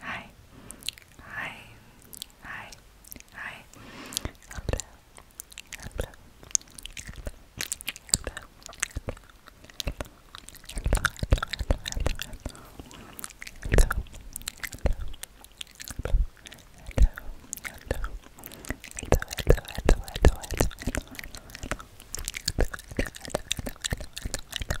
Hi. Hi. Hi. Hi. Hello. Hello. Hello. Hello. Hello. Hello. Hello. Hello. Hello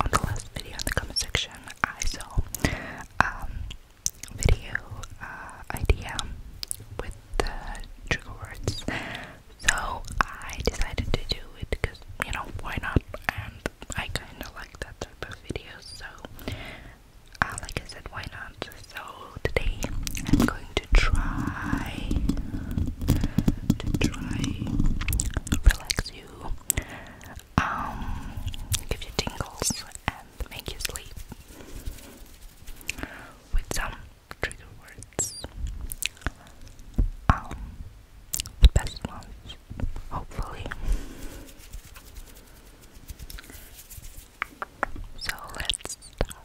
on the last video in the comment section, I saw um video uh, idea with the trigger words. So I decided to do it because you know why not? And I kind of like that type of videos. So uh, like I said, why not? So today I'm going to try to try to relax you um, give you tingles and make you sleep with some trigger words. Um, the best ones, hopefully. So let's start,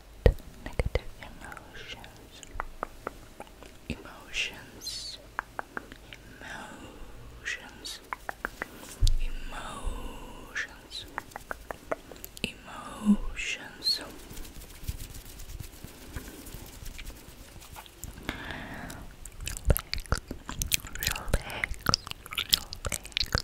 negative emotions, emotions, emotions, emotions, emotions. Relax, relax, relax,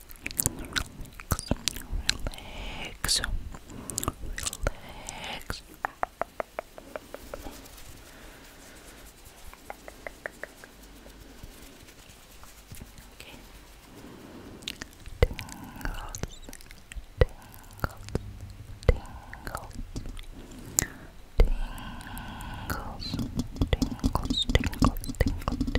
relax, relax. Okay. Tingles, tingles, tingles, tingles, tingles, tingles, tingles, tingles, tingles,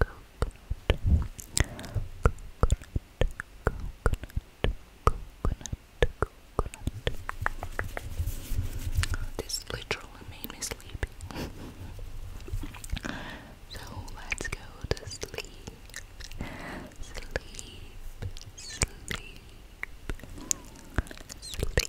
coconut. This literally made me sleepy. so let's go to sleep. Sleep, sleep, sleep, sleep, sleep.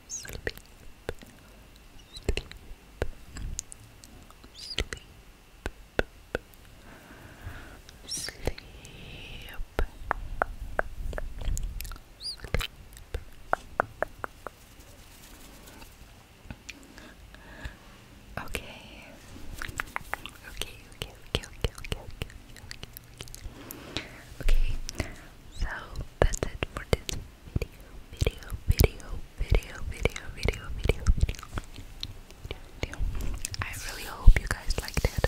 sleep, sleep, sleep, sleep, sleep. Okay. Okay, okay, okay, okay, okay, okay, okay, okay. so that's it for this video, video, video, video, video, video, video, video. I really hope you guys liked it.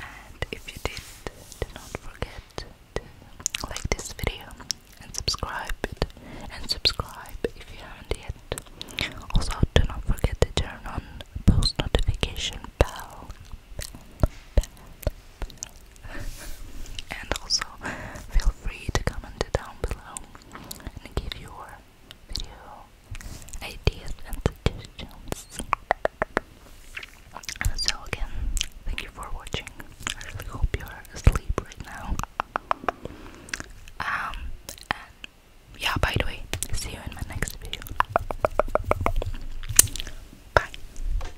And if you did, do not forget to like this video and subscribe it and subscribe if you haven't yet. Also do not forget to turn on post notification bell and also feel free to comment down below and give your video ideas and suggestions. So again, thank you for watching. I really hope you're asleep right now. Um, yeah, by the way, see you in my next video. Bye.